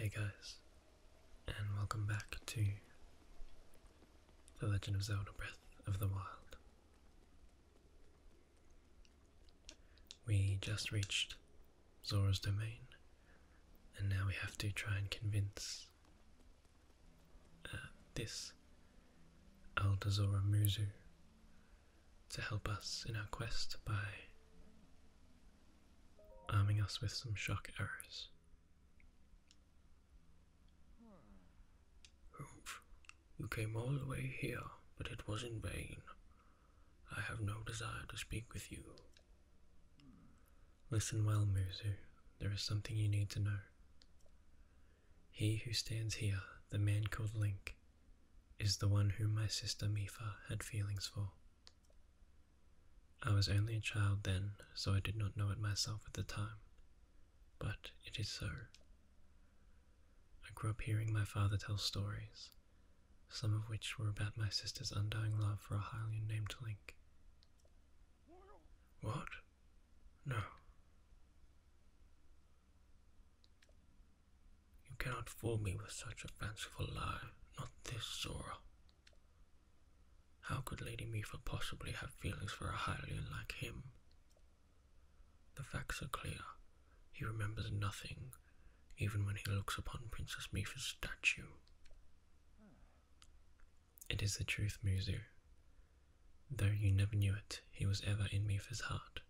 Hey guys, and welcome back to The Legend of Zelda Breath of the Wild. We just reached Zora's domain, and now we have to try and convince uh, this Elder Musu to help us in our quest by arming us with some shock arrows. Hmm. You came all the way here, but it was in vain. I have no desire to speak with you. Listen well, Muzu. There is something you need to know. He who stands here, the man called Link, is the one whom my sister Mifa had feelings for. I was only a child then, so I did not know it myself at the time, but it is so. I grew up hearing my father tell stories, some of which were about my sister's undying love for a Hylian named Link. What? No. You cannot fool me with such a fanciful lie, not this, Zora. How could Lady Mifa possibly have feelings for a Hylian like him? The facts are clear. He remembers nothing, even when he looks upon Princess Mifa's statue. It is the truth, Muzu. Though you never knew it, he was ever in Mifa's heart.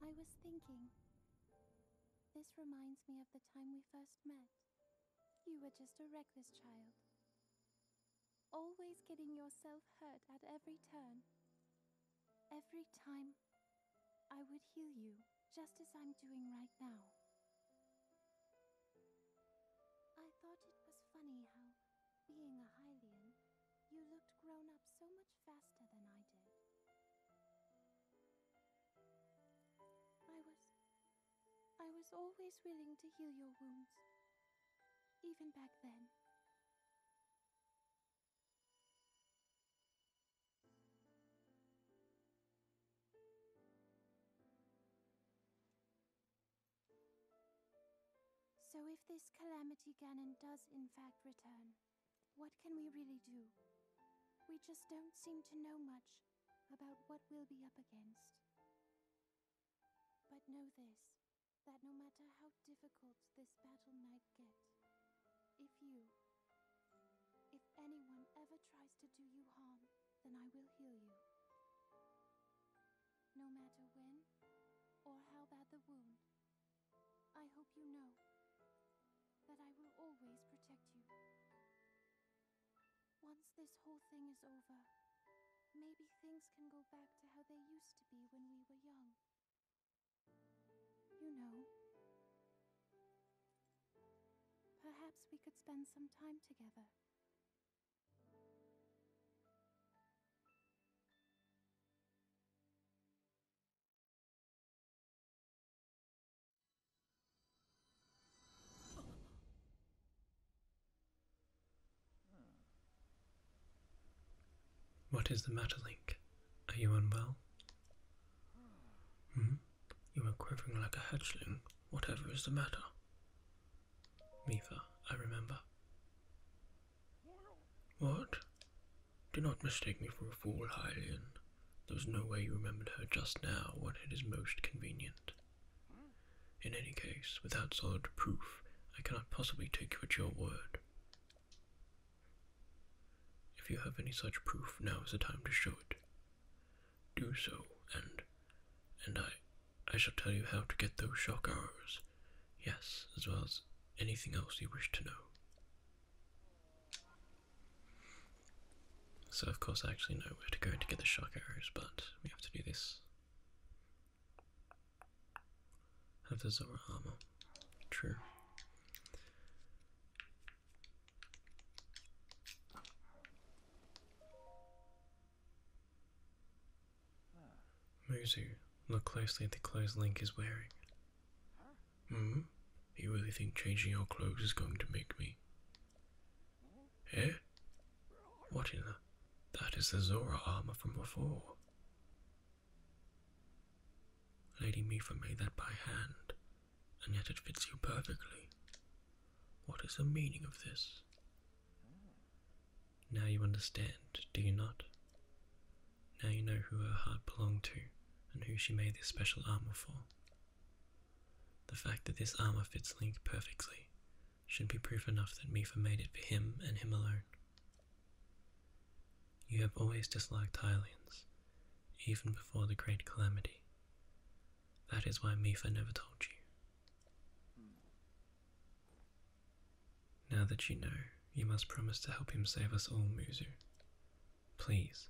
I was thinking, this reminds me of the time we first met. You were just a reckless child. Always getting yourself hurt at every turn. Every time, I would heal you, just as I'm doing right now. I thought it was funny how, being a Hylian, you looked grown up so much faster than I did. I was. I was always willing to heal your wounds, even back then. So if this calamity Ganon does in fact return, what can we really do? We just don't seem to know much about what we'll be up against. But know this, that no matter how difficult this battle might get, if you, if anyone ever tries to do you harm, then I will heal you. No matter when, or how bad the wound, I hope you know that I will always protect you. Once this whole thing is over, maybe things can go back to how they used to be when we were young. You know. Perhaps we could spend some time together. What is the matter, Link? Are you unwell? Hmm? You are quivering like a hatchling. Whatever is the matter? Mifa, I remember. What? Do not mistake me for a fool, Hylian. There was no way you remembered her just now when it is most convenient. In any case, without solid proof, I cannot possibly take you at your word. If you have any such proof, now is the time to show it. Do so, and and I I shall tell you how to get those shock arrows. Yes, as well as anything else you wish to know. So of course I actually know where to go to get the shock arrows, but we have to do this. Have the Zora armor. True. Muzu, look closely at the clothes Link is wearing. Hmm? You really think changing your clothes is going to make me? Eh? What in the... That is the Zora armor from before. Lady Mifa made that by hand, and yet it fits you perfectly. What is the meaning of this? Now you understand, do you not? Now you know who her heart belonged to, and who she made this special armor for. The fact that this armor fits Link perfectly should be proof enough that Mifa made it for him and him alone. You have always disliked Hylians, even before the Great Calamity. That is why Mifa never told you. Now that you know, you must promise to help him save us all, Muzu. Please,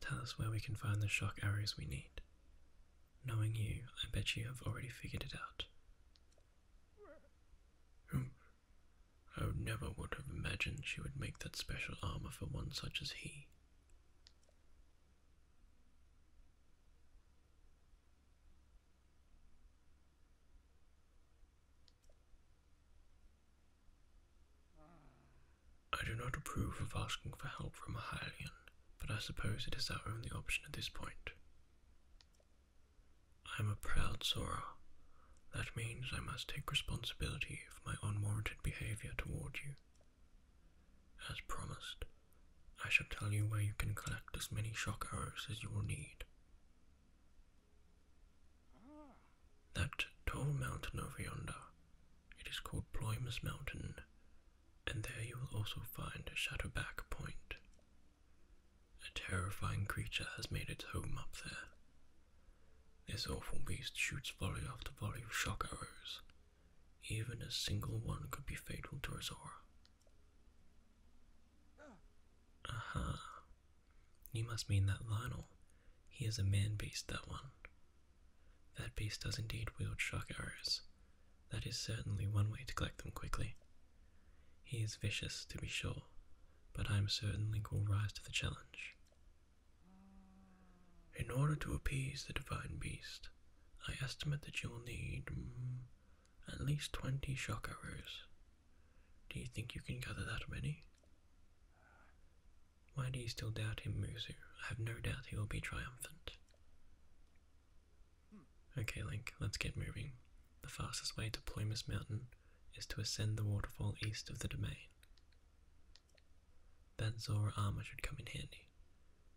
Tell us where we can find the shock arrows we need. Knowing you, I bet you have already figured it out. Hmm. I never would have imagined she would make that special armor for one such as he. I do not approve of asking for help from a Hylian, but I suppose it is our only option at this point. I am a proud Sora. That means I must take responsibility for my unwarranted behavior toward you. As promised, I shall tell you where you can collect as many shock arrows as you will need. That tall mountain over yonder it is called Ploymus Mountain, and there you will also find Shadowback Point. A terrifying creature has made its home up there. This awful beast shoots volley after volley of shock arrows. Even a single one could be fatal to Azora. Aha. You must mean that Lionel. He is a man beast, that one. That beast does indeed wield shock arrows. That is certainly one way to collect them quickly. He is vicious, to be sure, but I am certain Link will rise to the challenge. In order to appease the divine beast, I estimate that you'll need mm, at least 20 shock arrows. Do you think you can gather that many? Why do you still doubt him, Muzu? I have no doubt he will be triumphant. Okay, Link, let's get moving. The fastest way to Plumas Mountain is to ascend the waterfall east of the domain. That Zora armor should come in handy.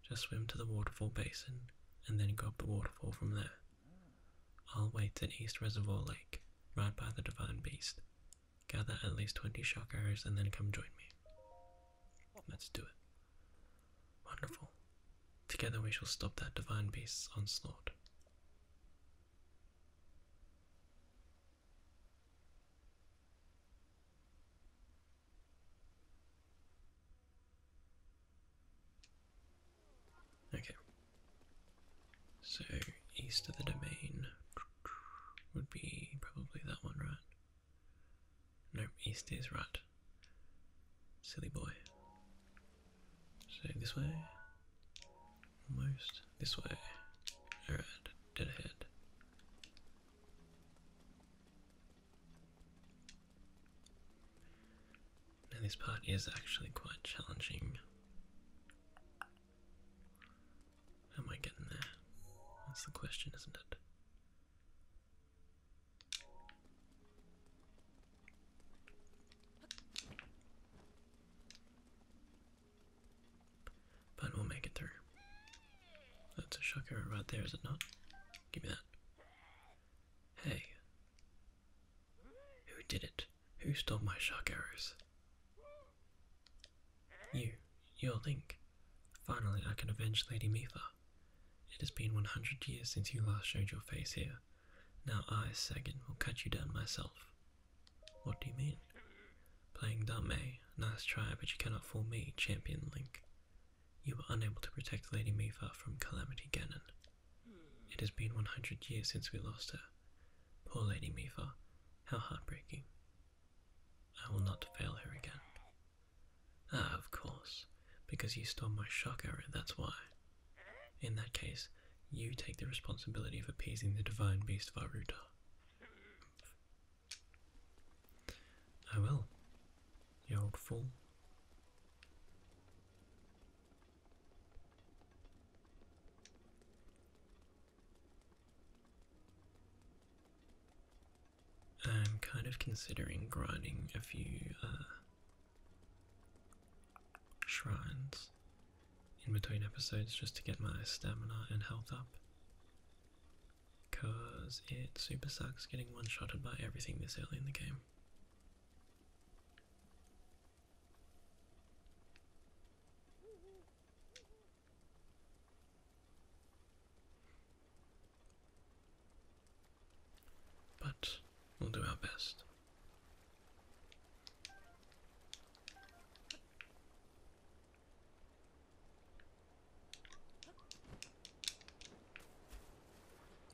Just swim to the waterfall basin, and then grab the waterfall from there. I'll wait at East Reservoir Lake, right by the Divine Beast, Gather at least 20 shock arrows and then come join me. Let's do it. Wonderful. Together we shall stop that divine beast's onslaught. Okay. So east of the domain would be probably that one, right? Nope, east is right. Silly boy. So this way. Almost. This way. Alright, dead ahead. Now this part is actually quite challenging. How am I getting there? That's the question, isn't it? But we'll make it through. That's a shocker right there, is it not? Give me that. Hey. Who did it? Who stole my shark arrows? You, your Link. Finally, I can avenge Lady Mifa. It has been 100 years since you last showed your face here. Now I, Sagan, will cut you down myself. What do you mean? Playing dumb, eh? Nice try, but you cannot fool me, Champion Link. You were unable to protect Lady Mifa from Calamity Ganon. It has been 100 years since we lost her. Poor Lady Mifa. How heartbreaking. I will not fail her again. Ah, of course, because you stole my shock arrow, that's why. In that case, you take the responsibility of appeasing the divine beast Varuta. I ah, will, you old fool. I'm kind of considering grinding a few uh, shrines in between episodes just to get my stamina and health up. Because it super sucks getting one shotted by everything this early in the game. But we'll do our best.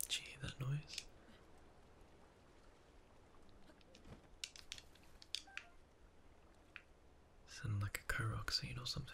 Gee, that noise. Sound like a co or something.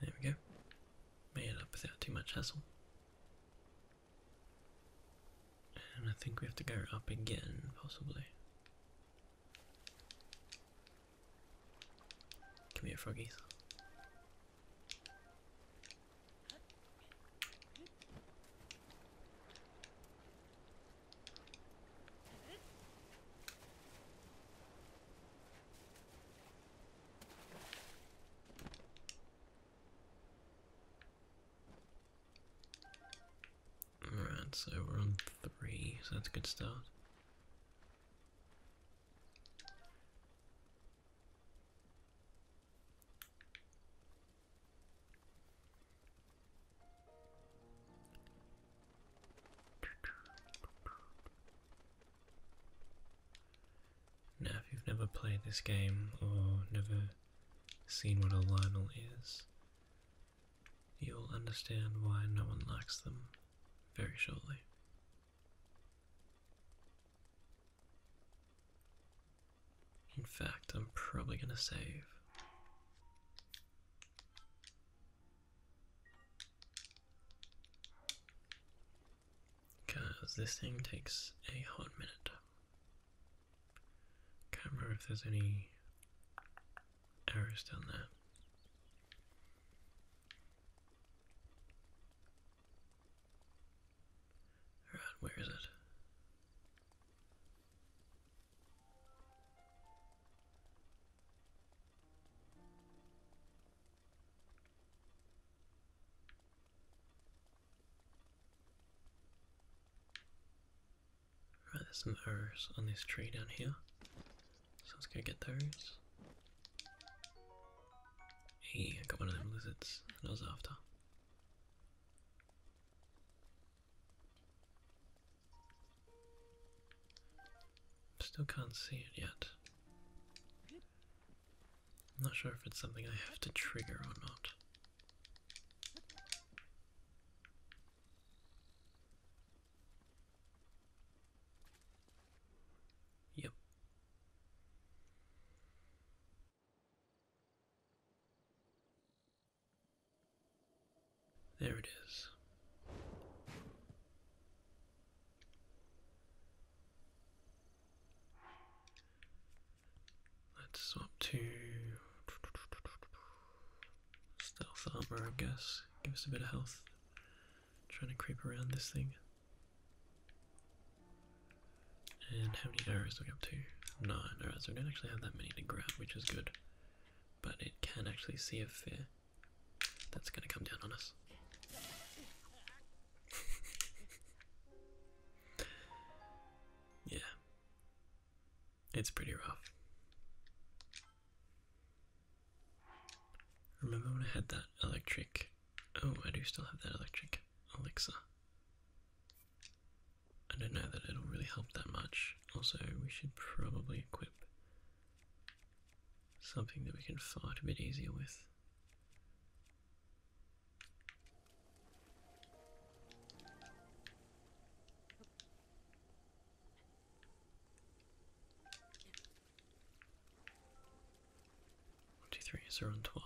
There we go. Made it up without too much hassle. And I think we have to go up again, possibly. Come here, froggies. Alright, so we're on three, so that's a good start. Now, if you've never played this game or never seen what a Lionel is, you'll understand why no one likes them very shortly. In fact, I'm probably going to save because this thing takes a hot minute. Can't remember if there's any arrows down there. Alright, where is it? Right, there's some arrows on this tree down here, so let's go get those. Hey, I got one of them lizards I was after. Still can't see it yet. I'm not sure if it's something I have to trigger or not. Yep. There it is. Let's swap to stealth armor, I guess. Give us a bit of health. trying to creep around this thing. And how many arrows do we have to? Nine arrows. We don't actually have that many to grab, which is good but it can actually see a fear that's going to come down on us. yeah, it's pretty rough. Remember when I had that electric? Oh, I do still have that electric elixir. I don't know that it'll really help that much. Also, we should probably equip something that we can fight a bit easier with. One, two, three, so on twelve.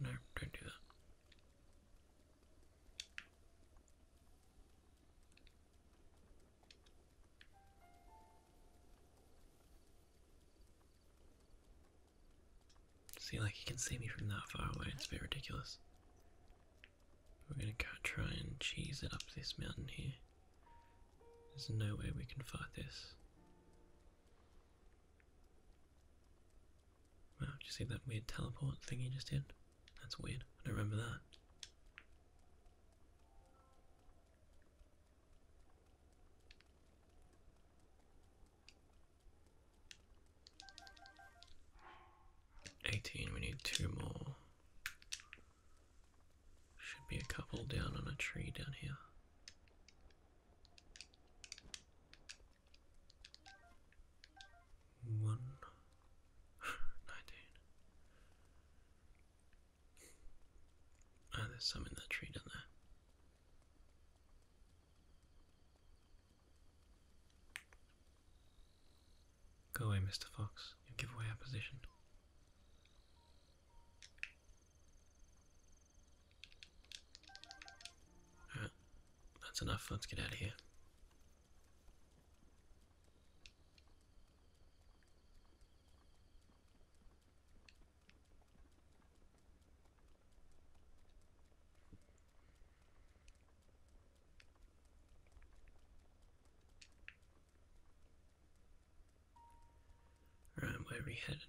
No, don't do that. See, like, you can see me from that far away, it's a bit ridiculous. We're gonna go try and cheese it up this mountain here. There's no way we can fight this. Wow, did you see that weird teleport thing you just did? That's weird. I don't remember that. Eighteen, we need two more. Should be a couple down on a tree down here. One nineteen. Ah, there's some that tree down there. Go away, Mr. Fox. You give away our position. Alright, that's enough. Let's get out of here. Alright, where we headed?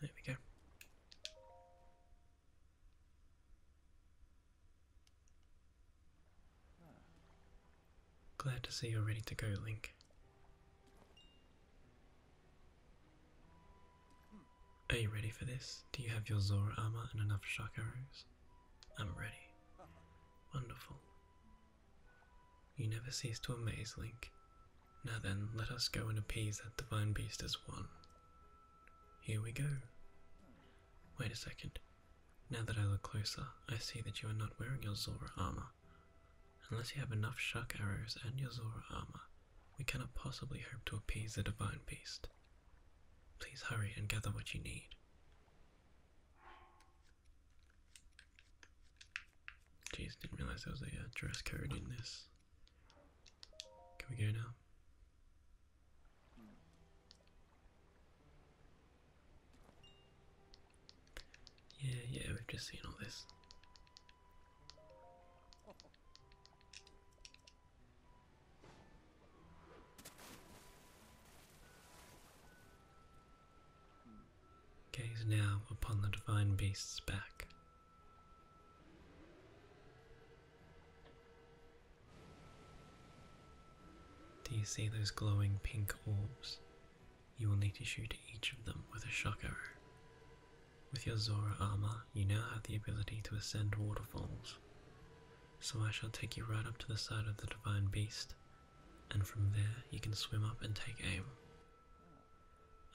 There we go. Glad to see you're ready to go, Link. Are you ready for this? Do you have your Zora armor and enough shock arrows? I'm ready. Wonderful. You never cease to amaze, Link. Now then, let us go and appease that divine beast as one. Here we go. Wait a second. Now that I look closer, I see that you are not wearing your Zora armor. Unless you have enough shark arrows and your Zora armor, we cannot possibly hope to appease the divine beast. Please hurry and gather what you need. Jeez, didn't realize there was a uh, dress code in this. Can we go now? Yeah, yeah, we've just seen all this. Gaze now upon the divine beast's back. Do you see those glowing pink orbs? You will need to shoot each of them with a shock arrow. With your Zora armor, you now have the ability to ascend waterfalls. So I shall take you right up to the side of the divine beast, and from there you can swim up and take aim.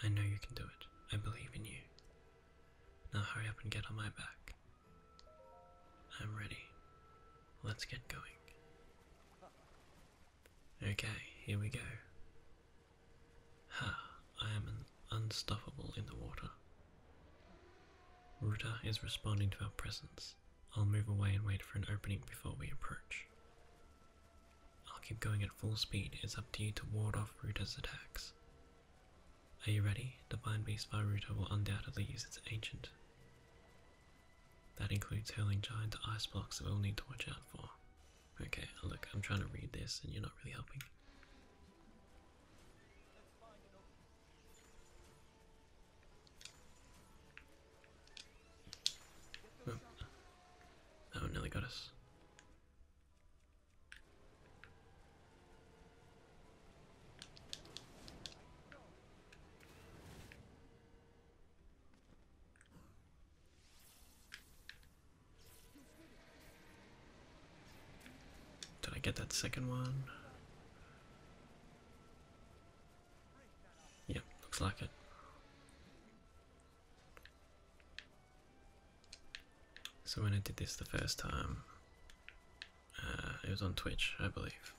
I know you can do it. I believe in you. Now hurry up and get on my back. I'm ready. Let's get going. Okay, here we go. Ha, I am unstoppable in the water. Ruta is responding to our presence. I'll move away and wait for an opening before we approach. I'll keep going at full speed, it's up to you to ward off Ruta's attacks. Are you ready? Divine Beast Varuta will undoubtedly use its ancient. That includes hurling giant ice blocks that we'll need to watch out for. Okay, look, I'm trying to read this and you're not really helping. Hmm. oh nearly got us. Did I get that second one? Yep, looks like it. So when I did this the first time, uh, it was on Twitch, I believe.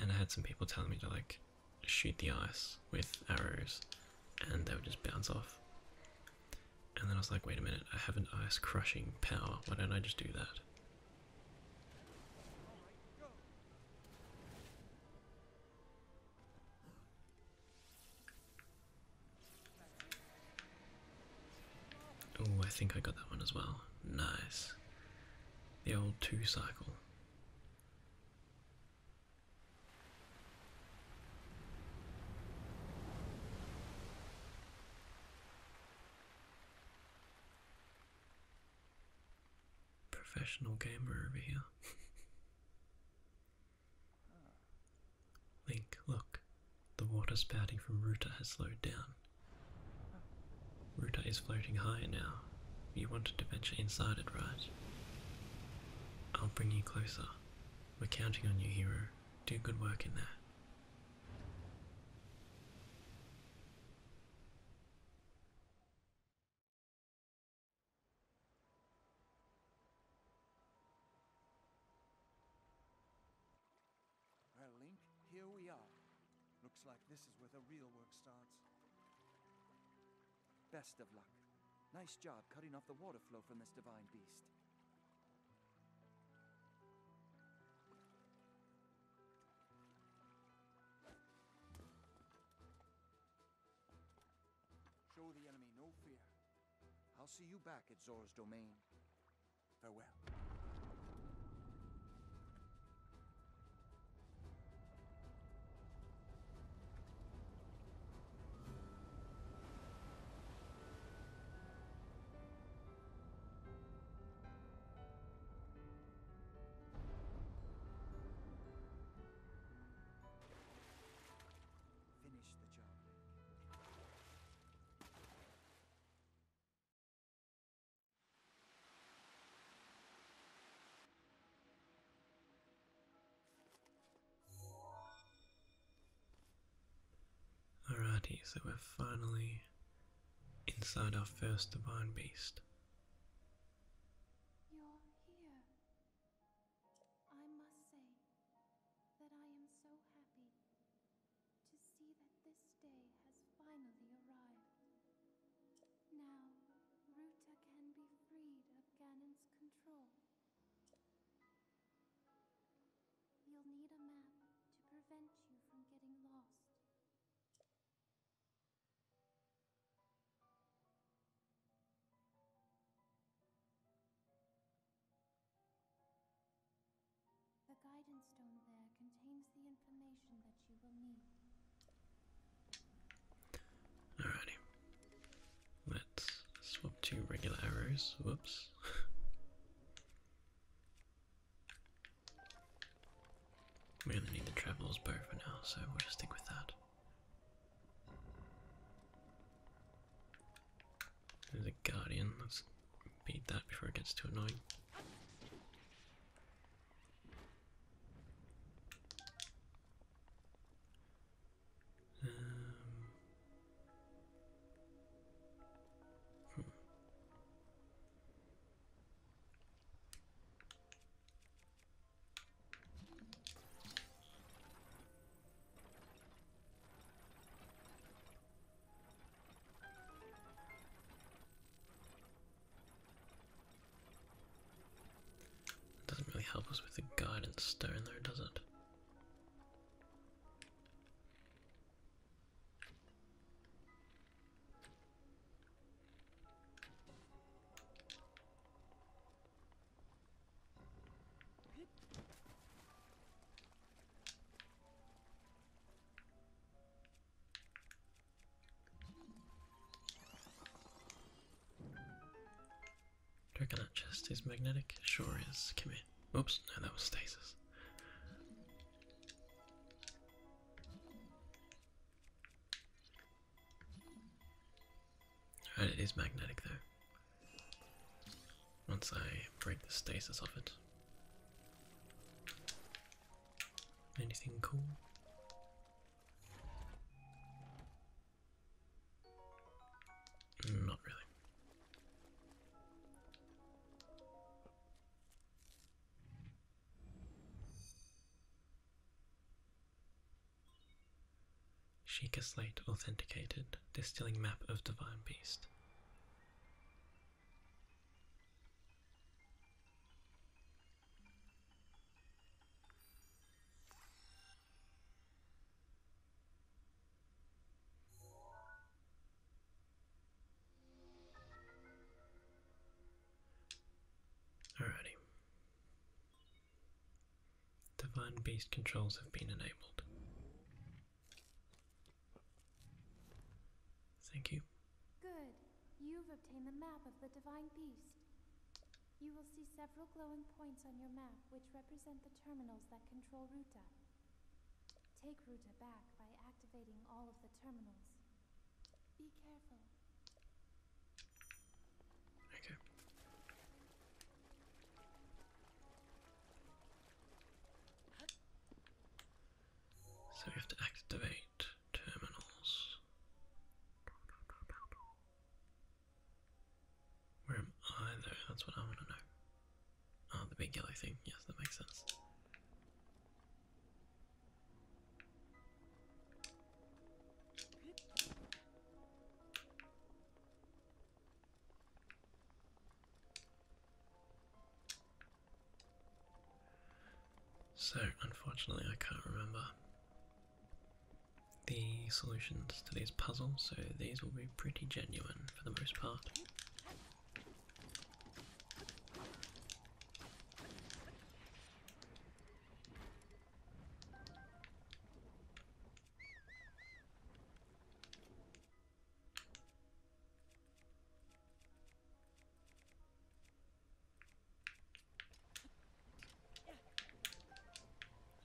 And I had some people telling me to like shoot the ice with arrows and they would just bounce off. And then I was like, wait a minute, I have an ice crushing power, why don't I just do that? Oh, I think I got that one as well. Nice. The old two cycle. Professional gamer over here. Link, look. The water spouting from Ruta has slowed down. Ruta is floating higher now. You wanted to venture inside it, right? I'll bring you closer. We're counting on you, hero. Do good work in there. Well, Link, here we are. Looks like this is where the real work starts. Best of luck. Nice job cutting off the water flow from this divine beast. Show the enemy no fear. I'll see you back at Zora's domain. Farewell. Finish the job, Alrighty, so we're finally inside our first divine beast. You're here. I must say that I am so happy to see that this day has finally arrived. Now, Ruta can be freed of Ganon's control. You'll need a map to prevent you from getting lost. The guidance stone there contains the information that you will need. Alrighty. Let's swap to regular arrows. Whoops. we only need the traveler's bow for now, so we'll just stick with that. There's a guardian. Let's beat that before it gets too annoying. Um, hmm. Doesn't really help us with the guidance stone though, does it? Do that chest is magnetic? Sure is. Come here. Oops, no, that was stasis. Right, oh, it is magnetic there. Once I break the stasis of it. Anything cool? Not really. Sheikah Slate authenticated, distilling map of divine beast. Alrighty. Divine Beast controls have been enabled. Thank you. Good. You've obtained the map of the Divine Beast. You will see several glowing points on your map which represent the terminals that control Ruta. Take Ruta back by activating all of the terminals. Be careful. Okay. So we have to activate terminals. Where am I though? That's what I want to know. Oh, the big yellow thing. Yes, that makes sense. So, unfortunately, I can't remember the solutions to these puzzles, so these will be pretty genuine for the most part.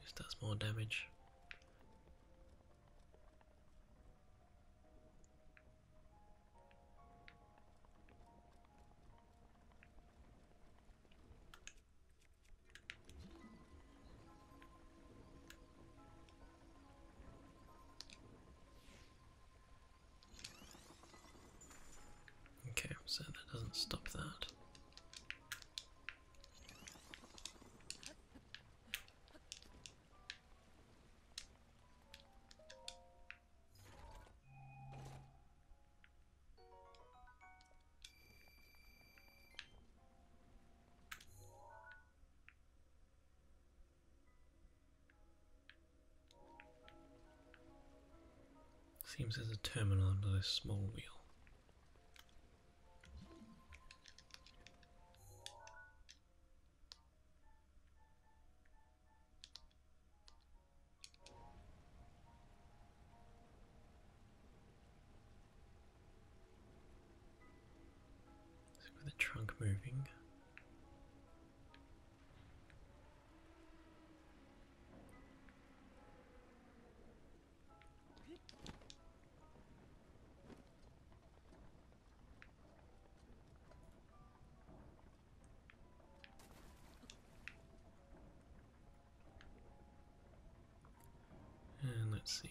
This does more damage. Okay, so that doesn't stop that. Seems there's a terminal under this small wheel. With the trunk moving, and let's see.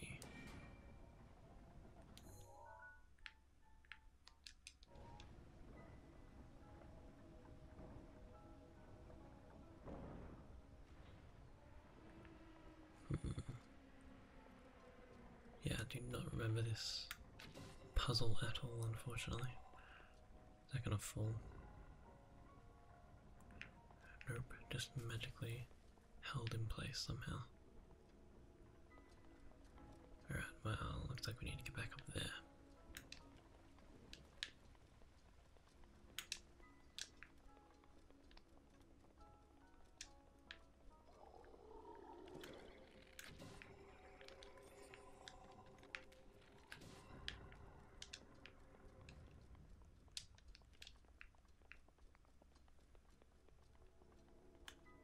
Hmm. Yeah, I do not remember this puzzle at all, unfortunately. Is that gonna fall? Nope, just magically held in place somehow. Alright, well, looks like we need to get back up there.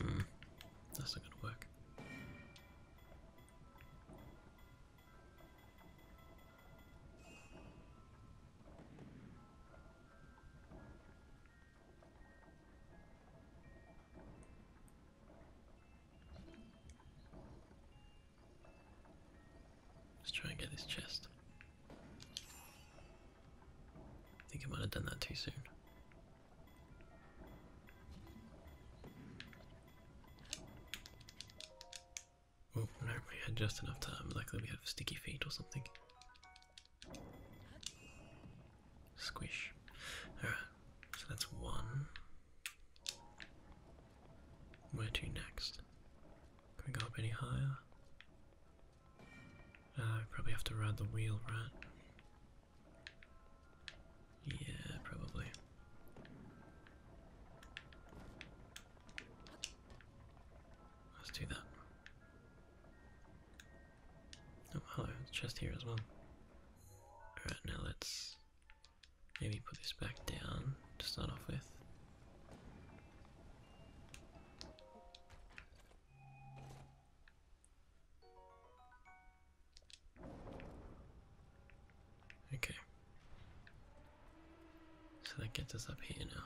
Hmm. That's not gonna work. Let's try and get this chest. I think I might have done that too soon. Oh no, we had just enough time. Luckily we have sticky feet or something. Squish. Alright, so that's one. Where to next? Can we go up any higher? Uh, I probably have to ride the wheel, right? Yeah, probably. Let's do that. Oh, hello, there's a chest here as well. Alright, now let's maybe put this back down to start off with. Okay. So that gets us up here now.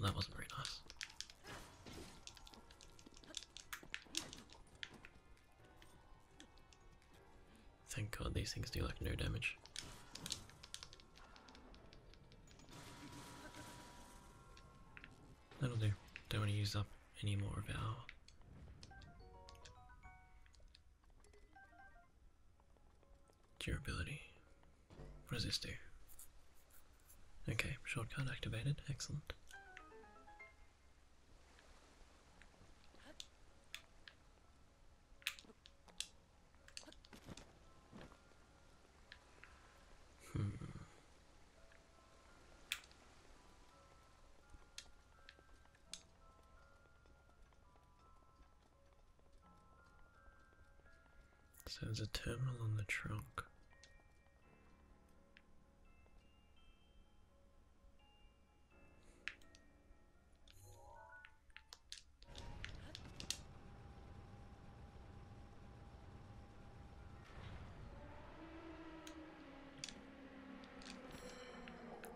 Well, that wasn't very nice. Thank god these things do like no damage. That'll do. Don't want to use up any more of our durability. Resist Okay, shortcut activated. Excellent. Hmm. So there's a terminal on the trunk.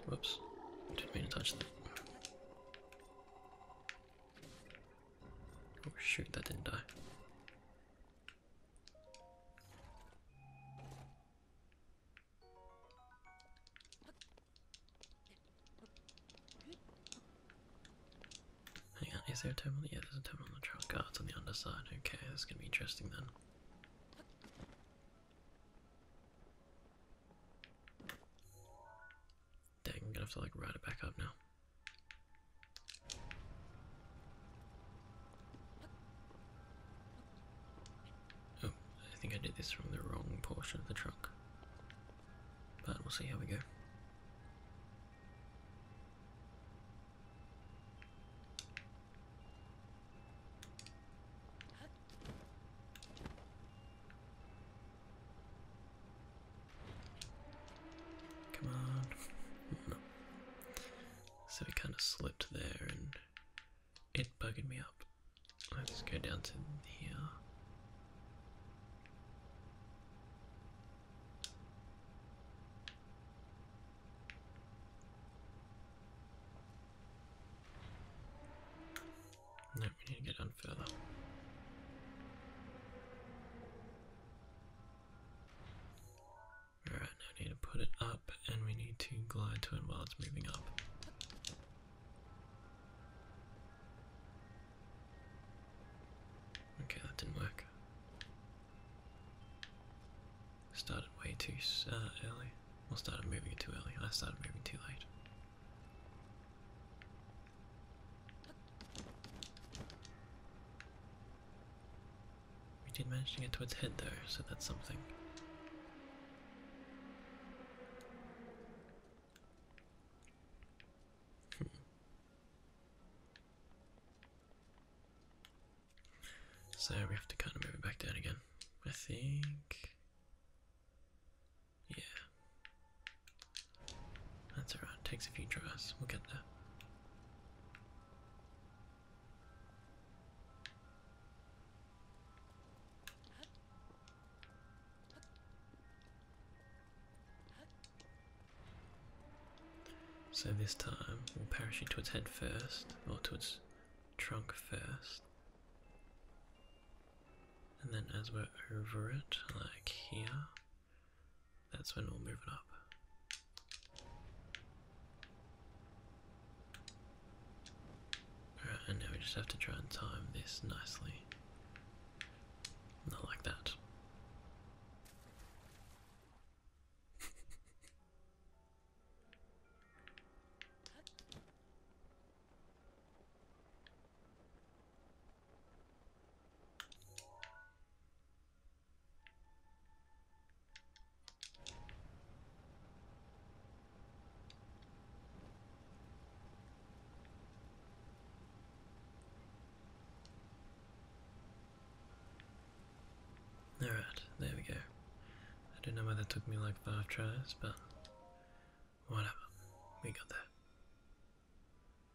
Whoops, didn't mean to touch that. Oh shoot, that didn't die is there a terminal? Yeah, there's a terminal on the trunk. guards oh, on the underside. Okay, this is going to be interesting then. Dang, I'm going to have to like ride it back up now. Oh, I think I did this from the wrong portion of the trunk. But we'll see how we go. Come on. So we kind of slipped there and it bugged me up. Let's go down to here. No, we need to get down Alright, now I need to put it up and we need to glide to it while it's moving up. Okay, that didn't work. Started way too uh, early. Well, started moving too early. I started moving too late. We did manage to get to its head though, so that's something. Hmm. So we have to kind of move it back down again. I think. Yeah. That's alright, takes a few tries, we'll get there. So this time we'll parachute to its head first, or to its trunk first. And then as we're over it, like here, that's when we'll move it up. and now we just have to try and time this nicely. Not like that. Alright, there we go. I don't know why that took me like five tries, but whatever. We got there.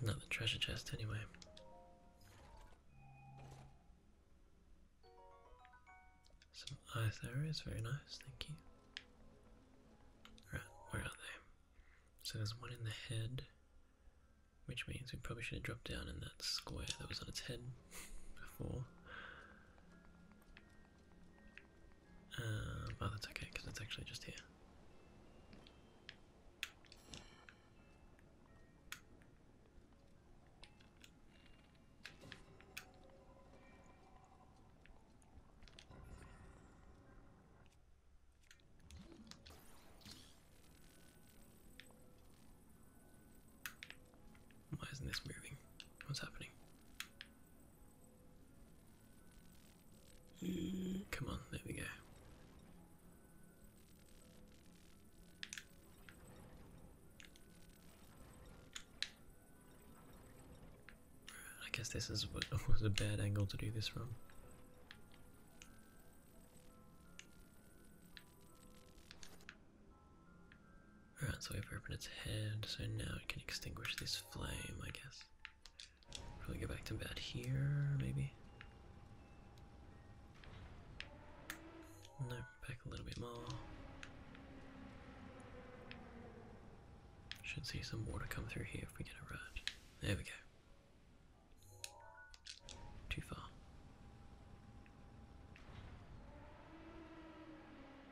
Another treasure chest, anyway. Some ice areas, very nice, thank you. Right, where are they? So there's one in the head, which means we probably should have dropped down in that square that was on its head before. Oh, uh, that's okay because it's actually just here. Why isn't this moving? What's happening? come on, there we go. I guess this is what was a bad angle to do this from. Alright, so we've opened its head, so now it can extinguish this flame, I guess. Probably go back to bed here, maybe? No, back a little bit more. Should see some water come through here if we get it right. There we go. Too far.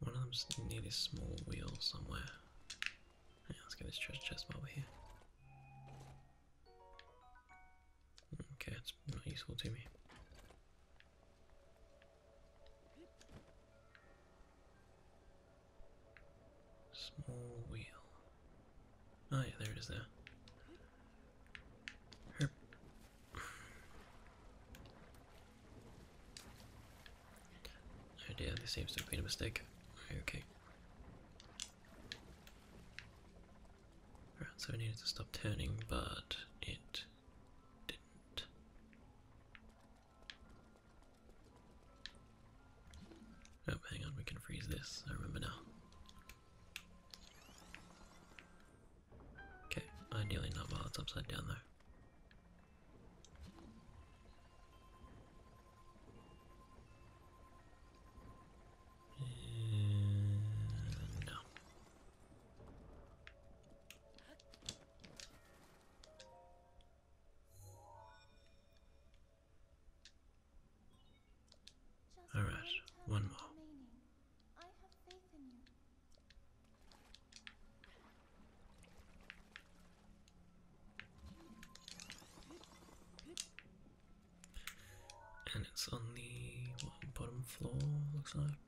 One of them's near this small wheel somewhere. Yeah, let's get this treasure chest while we're here. Okay, it's not useful to me. Small wheel. Oh yeah, there it is there. Oh dear, this seems to have been a mistake. Okay. Right, so we needed to stop turning, but it didn't. Oh, hang on, we can freeze this, I remember now. Okay, ideally not while it's upside down there. Uh, no. All right, one more. I have faith in you. And it's on the bottom floor, looks like.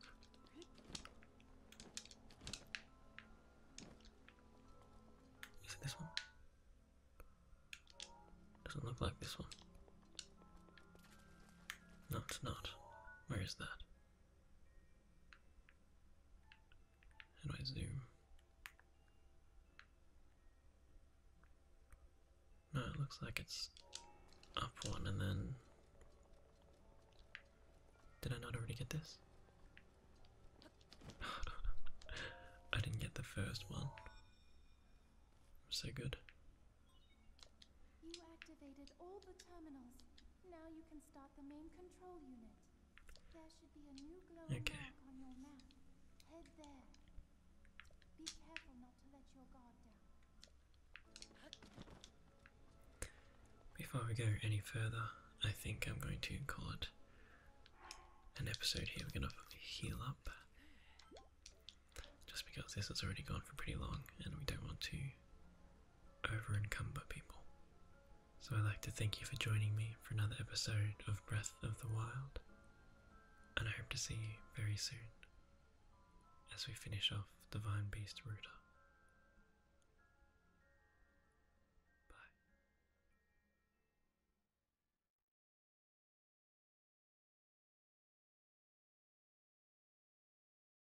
Is it this one? Doesn't look like this one. No, it's not. Where is that? How do I zoom? No, it looks like it's up one and then. Did I not already get this? I didn't get the first one. so good. You activated all the terminals. Now you can start the main control unit. There should be a new glowing mark on your map. Head there. Be careful not to let your guard down. Before we go any further, I think I'm going to call it an episode here. We're going to heal up. Just because this has already gone for pretty long and we don't want to over encumber people. So I'd like to thank you for joining me for another episode of Breath of the Wild, and I hope to see you very soon as we finish off the Vine Beast Router. Bye.